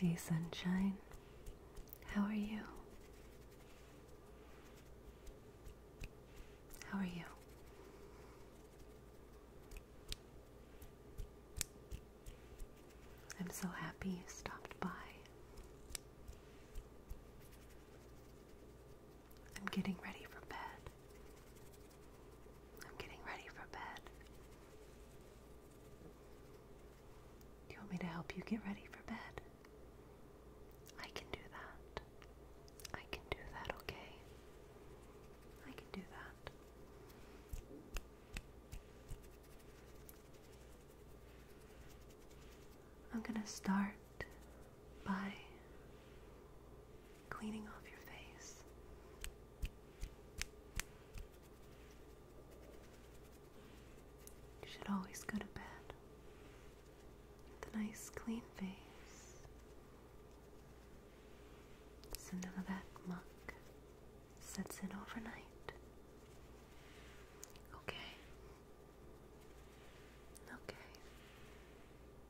Hey, sunshine, how are you? How are you? I'm so happy you stopped by. I'm getting ready for bed. I'm getting ready for bed. Do you want me to help you get ready for bed? I can do that. I can do that, okay? I can do that. I'm going to start by cleaning off your face. You should always go to bed with a nice clean face. So none of that muck sets in overnight. Okay. Okay.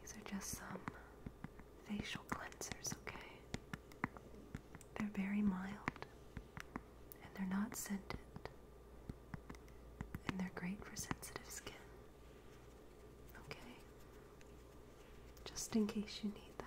These are just some facial cleansers, okay? They're very mild and they're not scented, and they're great for sensitive skin, okay? Just in case you need that.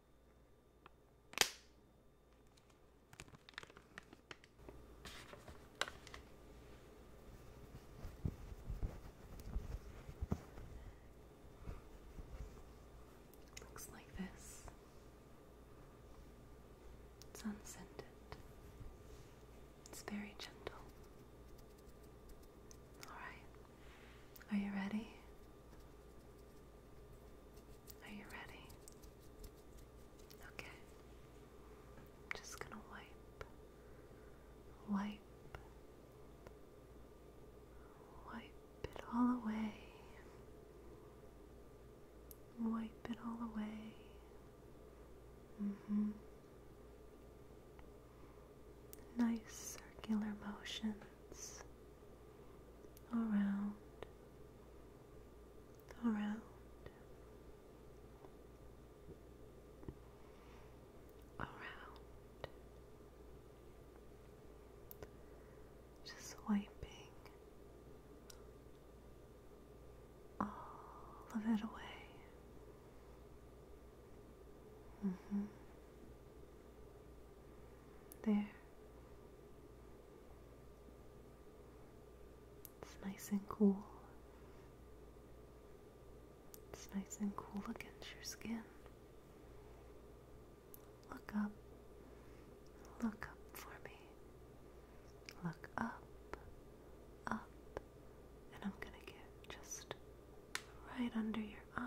Looks like this. It's unscented. It's very gentle. All right. Are you ready? Are you ready? Okay. I'm just gonna wipe, wipe, wipe it all away. Wipe it all away. Mm-hmm. Nice circular motions around, around, around, just wiping all of it away. Mm -hmm. There. It's nice and cool. It's nice and cool against your skin. Look up. Look up for me. Look up, up, and I'm gonna get just right under your eye.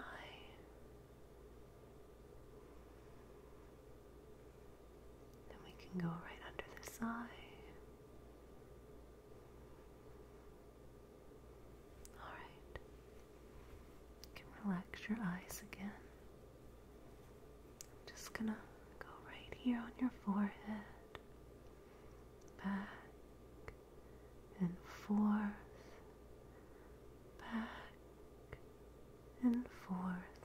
Then we can go right under this eye. Alright. You can relax your eyes again. just gonna go right here on your forehead. Back and forth. Back and forth.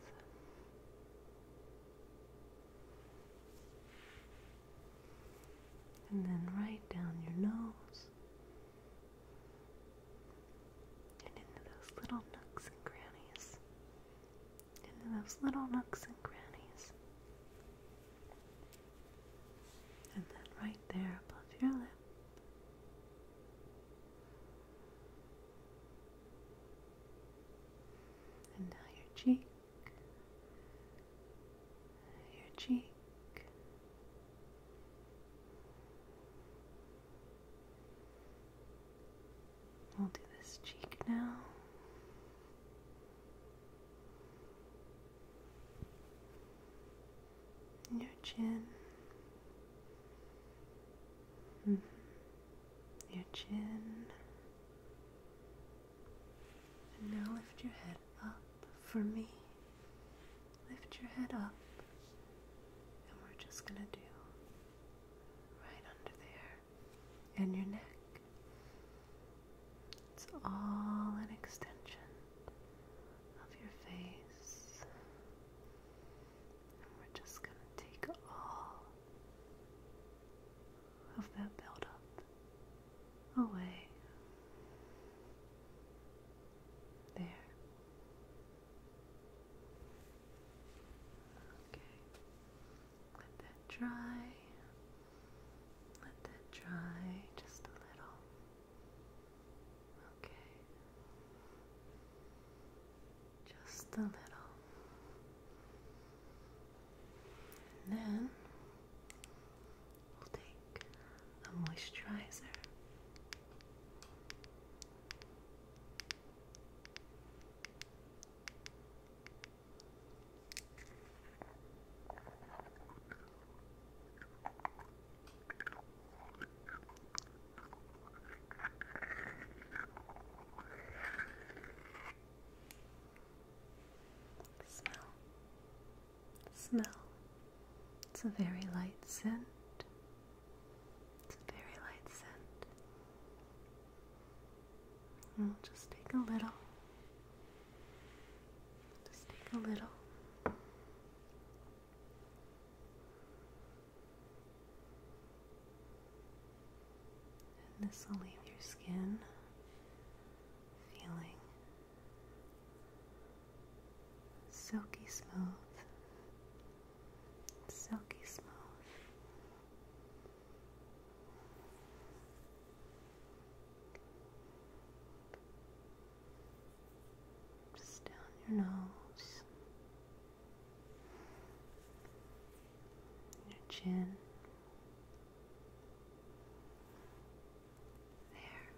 And then right down your nose and into those little nooks and crannies. Into those little nooks and crannies. And then right there above your lip. And now your cheek, your cheek. We'll do this cheek now your chin. -hmm. Your chin. And now lift your head up for me. Lift your head up. And we're just going to do right under there. And your neck. It's all an extension of your face. And we're just going to take all of that buildup away. There. Okay. Let that dry. Let that dry just a little. Okay. Just a little. And then we'll take a moisturizer. Smell. Smell. It's a very light scent. It's a very light scent. And we'll just take a little. Just take a little. And this will leave your skin feeling silky smooth, silky smooth. Just down your nose, your chin. There.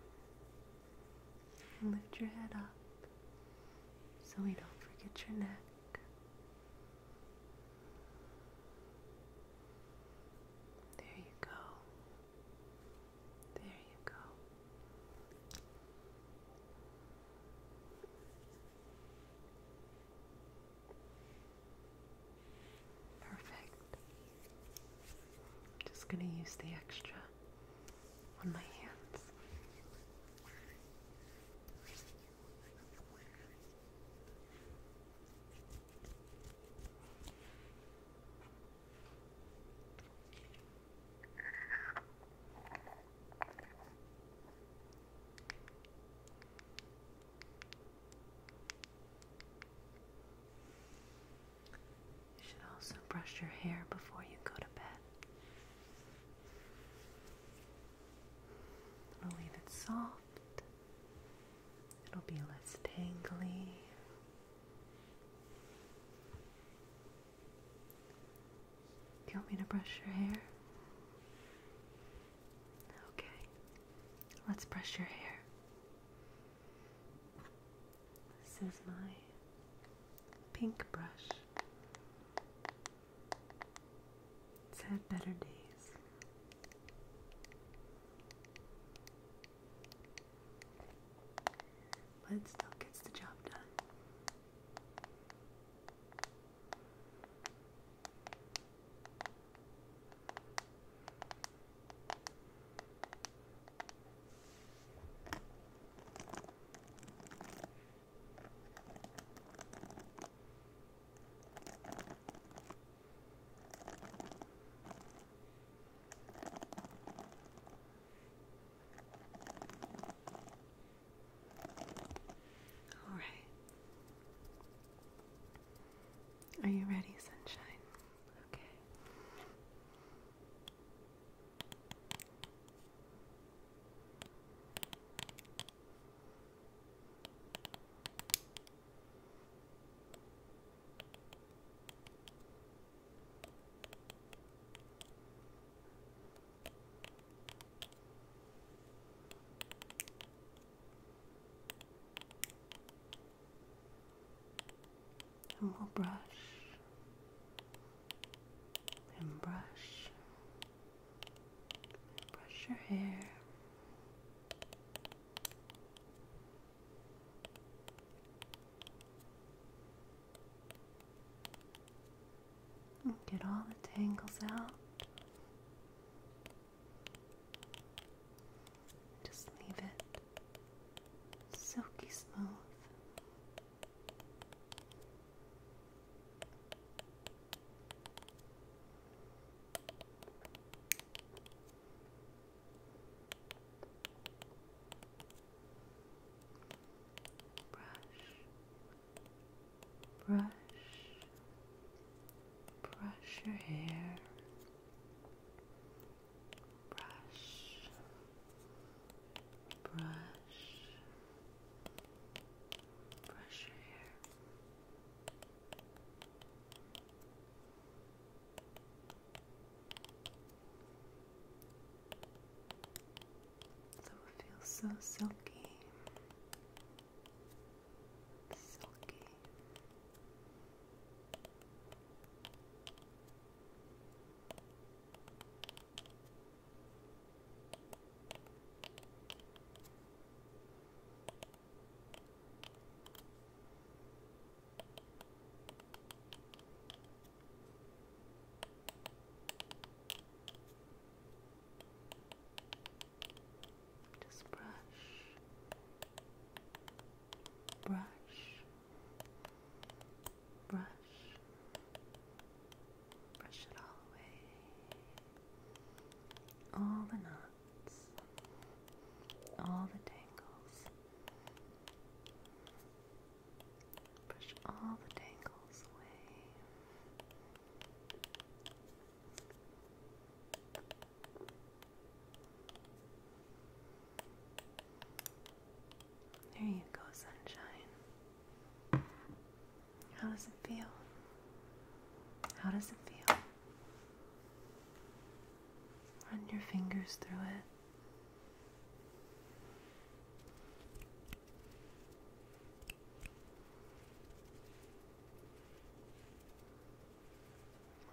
And lift your head up so we don't forget your neck. There you go. There you go. Perfect. just going to use the extra on my hands. You should also brush your hair before you go to bed. It'll leave it soft. It'll be less tangly. Do you want me to brush your hair? Okay, let's brush your hair. This is my pink brush. It's had better days. But still gets the job done. All right. Are you ready, sunshine? Okay. And we'll brush and brush brush your hair. Get all the tangles out. Just leave it silky smooth brush, brush, brush your hair, brush, brush, brush your hair. Brush, some feel so silky, silky. Just brush, brush, brush, brush it all away. All the knots, all the tangles, Push all the tangles away. There you go, sunshine. How does it feel? How does it feel? Run your fingers through it.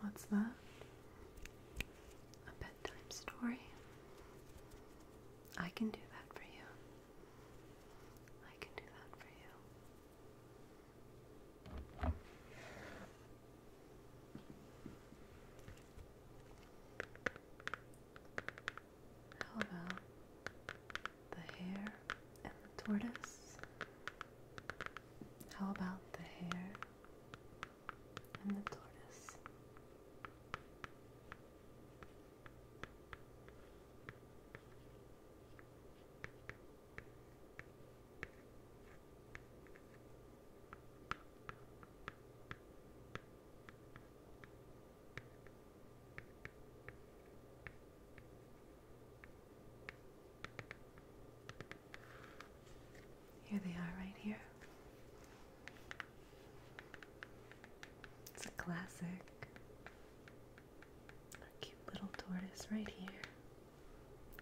What's that? A bedtime story? I can do that for you. I can do that for you. How about the hare and the tortoise? How about the hare and the tortoise? Here they are, right here. It's a classic. A cute little tortoise right here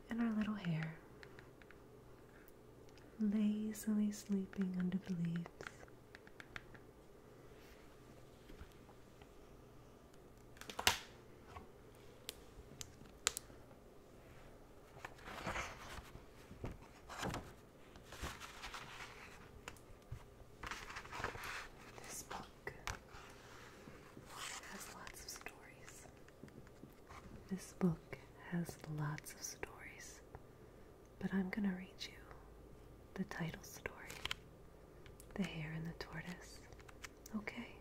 and our little hair, lazily sleeping under the leaves. This book has lots of stories. This book has lots of stories, but I'm going to read you the title story The Hare and the Tortoise. Okay?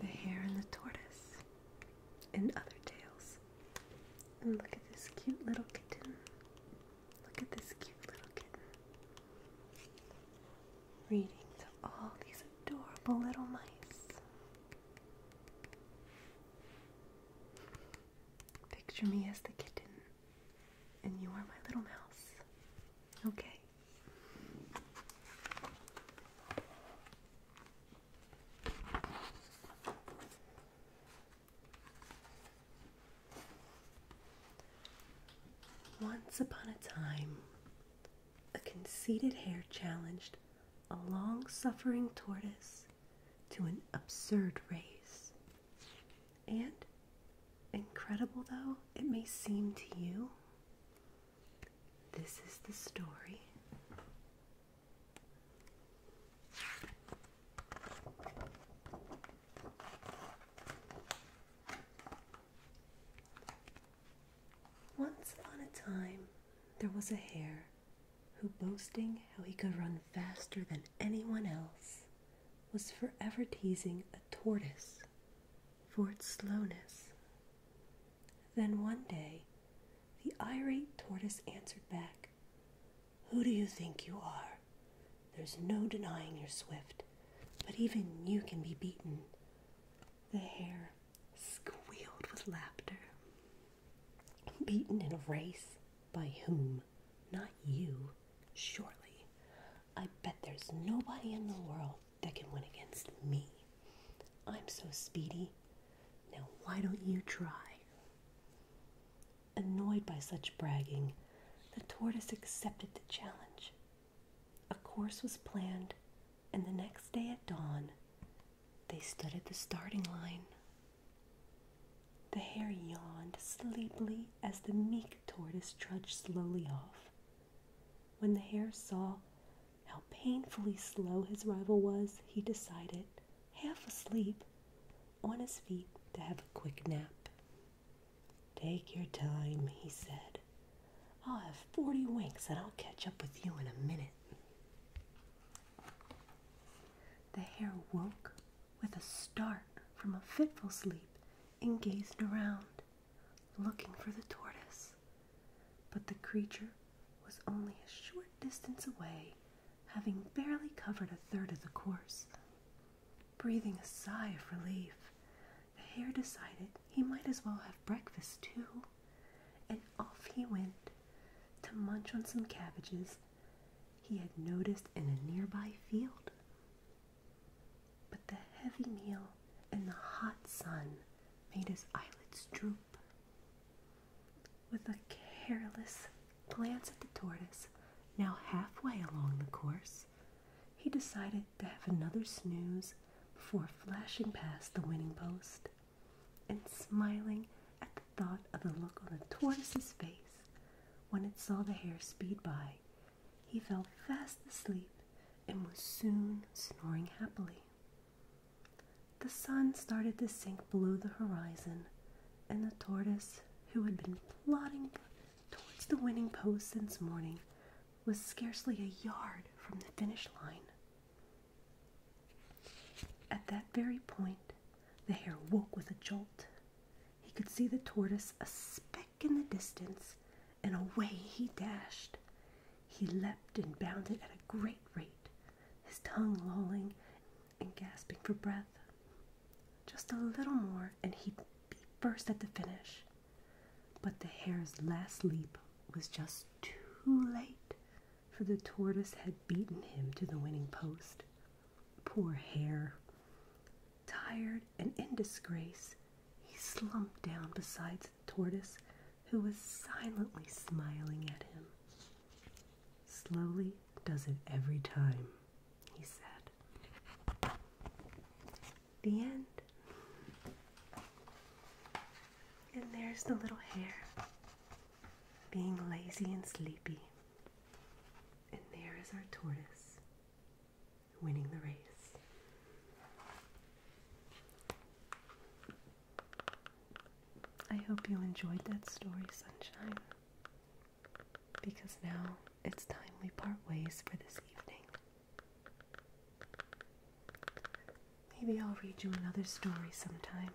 The Hare and the Tortoise and other tails. And look at this cute little kitten. Look at this cute little kitten. Reading to all these adorable little mice. Picture me as the kitten, and you are my little mouse. Okay. Once upon a time, a conceited hare challenged a long suffering tortoise to an absurd race. And, incredible though it may seem to you, this is the story once upon a time, there was a hare who, boasting how he could run faster than anyone else, was forever teasing a tortoise for its slowness. Then one day, the irate tortoise answered back, Who do you think you are? There's no denying you're swift, but even you can be beaten. The hare squealed with laughter. Beaten in a race? By whom? Not you, Shortly, I bet there's nobody in the world that can win against me. I'm so speedy. Now, why don't you try? Annoyed by such bragging, the tortoise accepted the challenge. A course was planned, and the next day at dawn, they stood at the starting line. The hare yawned sleepily as the meek tortoise trudged slowly off. When the hare saw how painfully slow his rival was, he decided, half asleep, on his feet to have a quick nap. Take your time, he said. I'll have 40 winks and I'll catch up with you in a minute. The hare woke with a start from a fitful sleep and gazed around, looking for the tortoise. But the creature was only a short distance away, having barely covered a third of the course. Breathing a sigh of relief, the hare decided he might as well have breakfast too, and off he went to munch on some cabbages he had noticed in a nearby field. But the heavy meal and the hot sun made his eyelids droop. With a careless glance at the tortoise, now halfway along the course, he decided to have another snooze before flashing past the winning post and smiling at the thought of the look on the tortoise's face when it saw the hare speed by. He fell fast asleep and was soon snoring happily. The sun started to sink below the horizon, and the tortoise, who had been plodding towards the winning post since morning, was scarcely a yard from the finish line. At that very point, the hare woke with a jolt. He could see the tortoise a speck in the distance, and away he dashed. He leaped and bounded at a great rate, his tongue lolling and gasping for breath. Just a little more, and he'd be at the finish. But the hare's last leap was just too late, for the tortoise had beaten him to the winning post. Poor hare! Tired and in disgrace, he slumped down beside tortoise, who was silently smiling at him. Slowly does it every time, he said. The end. And there's the little hare being lazy and sleepy. And there is our tortoise winning the race. I hope you enjoyed that story, Sunshine, because now it's time we part ways for this evening. Maybe I'll read you another story sometime.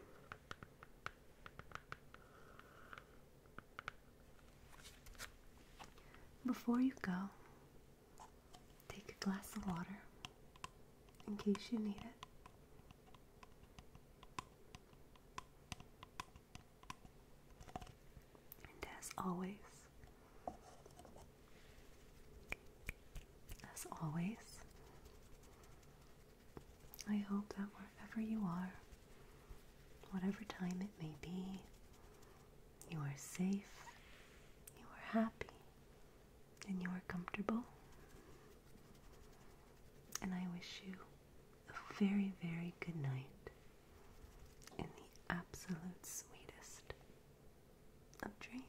Before you go, Take a glass of water in case you need it. And as always, as always, I hope that wherever you are, whatever time it may be, you are safe, you are happy, and you are comfortable. And I wish you a very, very good night in the absolute sweetest of dreams.